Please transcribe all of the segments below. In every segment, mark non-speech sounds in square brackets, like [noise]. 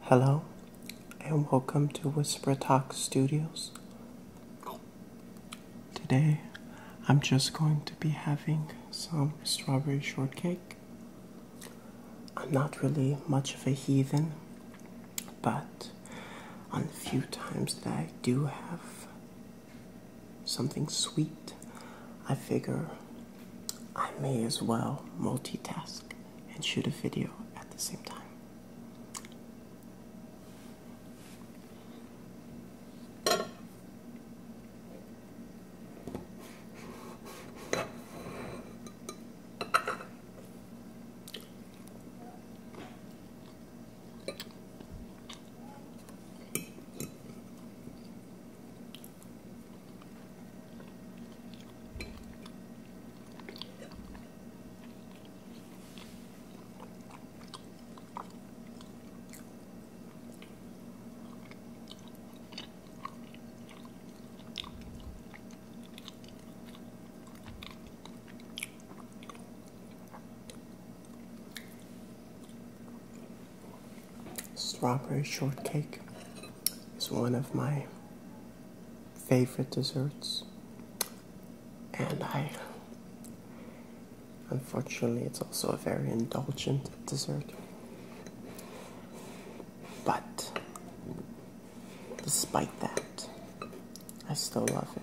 Hello and welcome to Whisper Talk Studios. Today I'm just going to be having some strawberry shortcake. I'm not really much of a heathen, but on the few times that I do have something sweet, I figure I may as well multitask and shoot a video at the same time. Strawberry shortcake is one of my favorite desserts, and I unfortunately it's also a very indulgent dessert. But despite that, I still love it.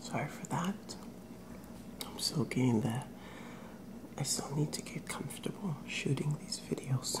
Sorry for that. I'm still getting there. I still need to get comfortable shooting these videos.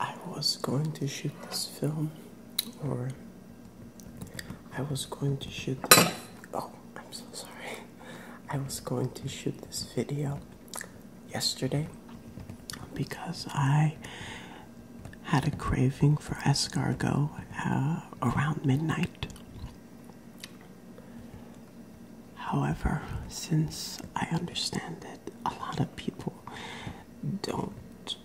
I was going to shoot this film, or I was going to shoot this. Oh, I'm so sorry. I was going to shoot this video yesterday because I had a craving for escargot uh, around midnight. However, since I understand that a lot of people don't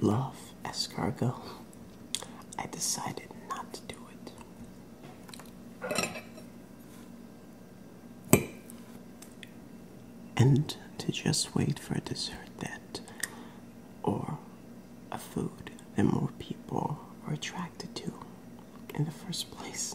love escargot, I decided not to do it. And to just wait for a dessert that or a food food that more people are attracted to in the first place.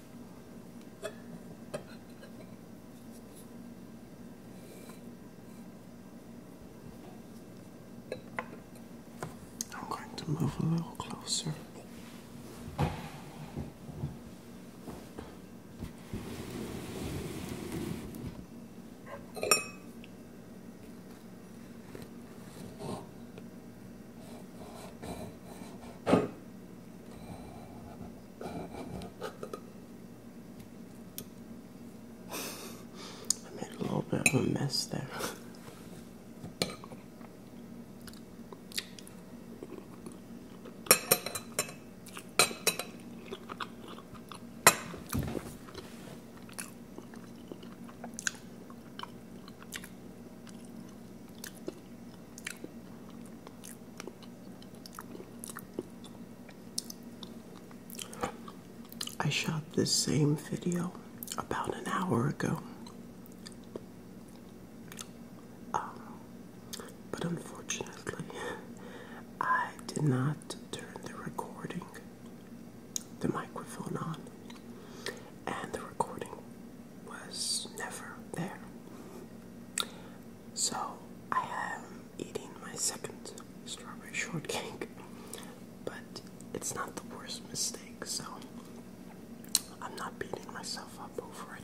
I'm going to move a little closer. I made a little bit of a mess there. I shot this same video about an hour ago. Um, but unfortunately, I did not turn the recording, the microphone on, and the recording was never there. So I am eating my second strawberry shortcake, but it's not the worst mistake, so I'm not beating myself up over it.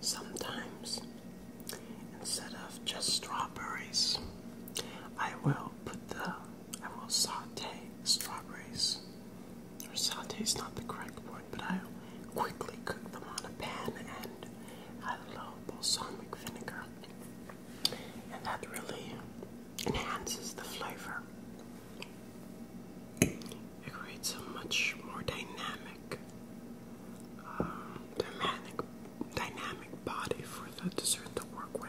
Sometimes, instead of just strawberries, I will put the I will saute strawberries. saute is not the correct word, but I quickly cook them on a pan and I love balsamic vinegar, and that really enhances the flavor. It creates a much more dynamic, um, dynamic, dynamic body for the dessert to work with.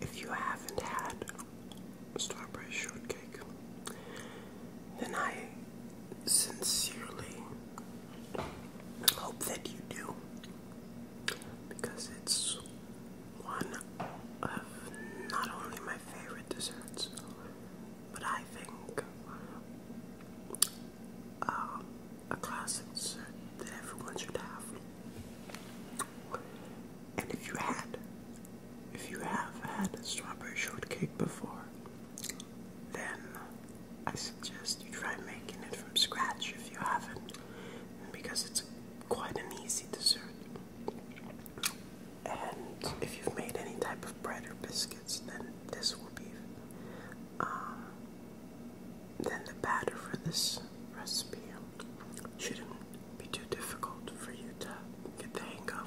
If you haven't had strawberry shortcake, then I sincerely hope that you do because it's one of not only my favorite desserts, but I think uh, a classic dessert that everyone should have. And if you had, if you have had strawberry shortcake before, then I suggest you try making it from scratch if you haven't, because it's quite an easy dessert. And if you've made any type of bread or biscuits, then this will be. Um, then the batter for this this recipe shouldn't be too difficult for you to get the hang of.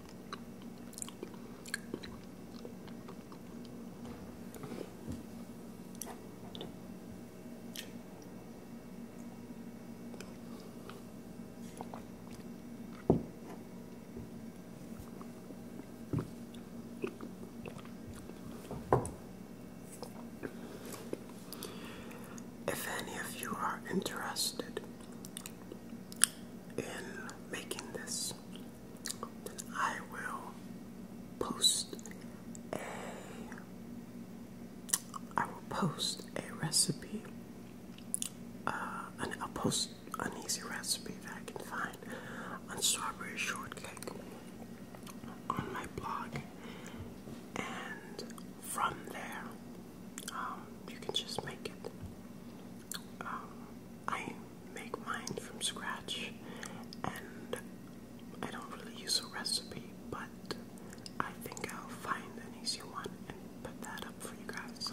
If any of you are interested in making this, then I will post a I will post a recipe. Uh, and I'll post an easy recipe that I can find on strawberry shortcake on my blog, and from there, um, you can just make it. Um, I make mine from scratch and I don't really use a recipe, but I think I'll find an easy one and put that up for you guys.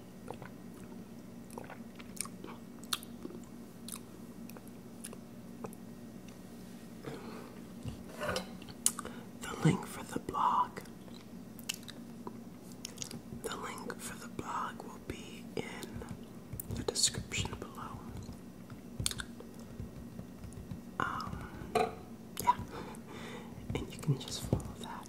The link for the blog. The link for the blog will be in the description below. Um, yeah, and you can just follow that.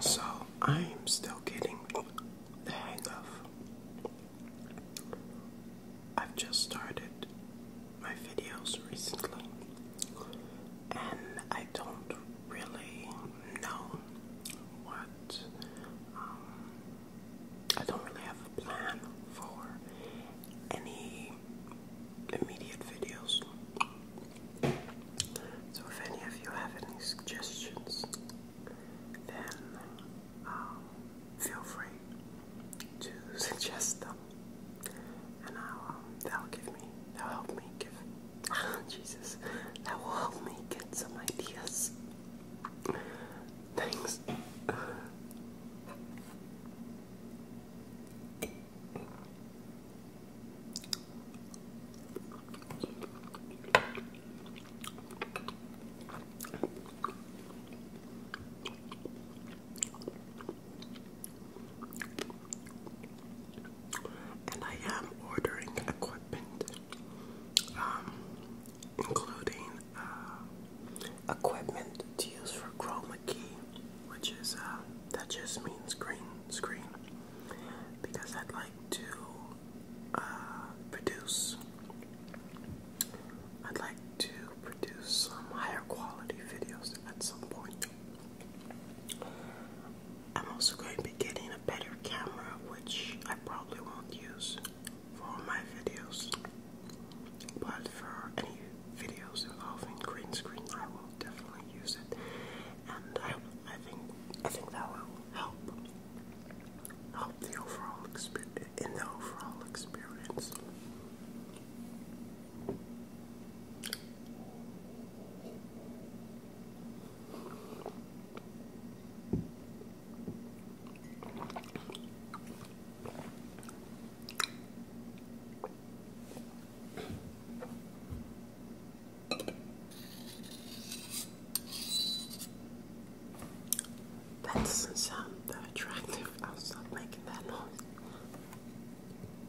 So I am still getting the hang of. I've just started my videos recently, and I don't really know what. Um, I don't really have a plan for any immediate videos. So, if any of you have any suggestions, then um, feel free to [laughs] suggest them and I'll, um, will give me, that'll help me give, [laughs] Jesus, that will help me get some ideas. Thanks. And I am ordering equipment, um, including uh, equipment to use for chroma key, which is uh, that just means green screen, because I'd like to uh, produce. I'd like to produce some higher quality videos at some point. I'm also going to be getting a better camera, which I probably won't use for all my videos, but for any videos involving green screen, I will definitely use it, and I, think I think that will help help the overall experience in the overall experience. That doesn't sound that attractive. I'll stop making that noise.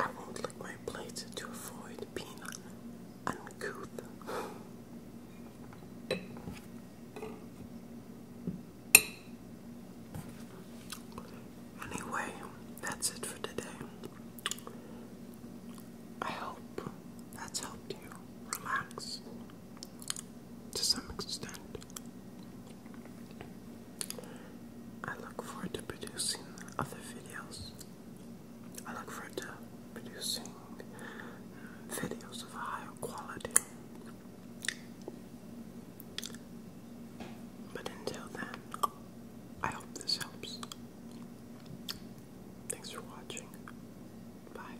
I won't lick my plates to avoid being uncouth. Anyway, that's it for today. I hope that's helped you relax to some extent. I look forward to producing other videos I look forward to producing uh, videos of a higher quality. But until then, I hope this helps. Thanks for watching. Bye.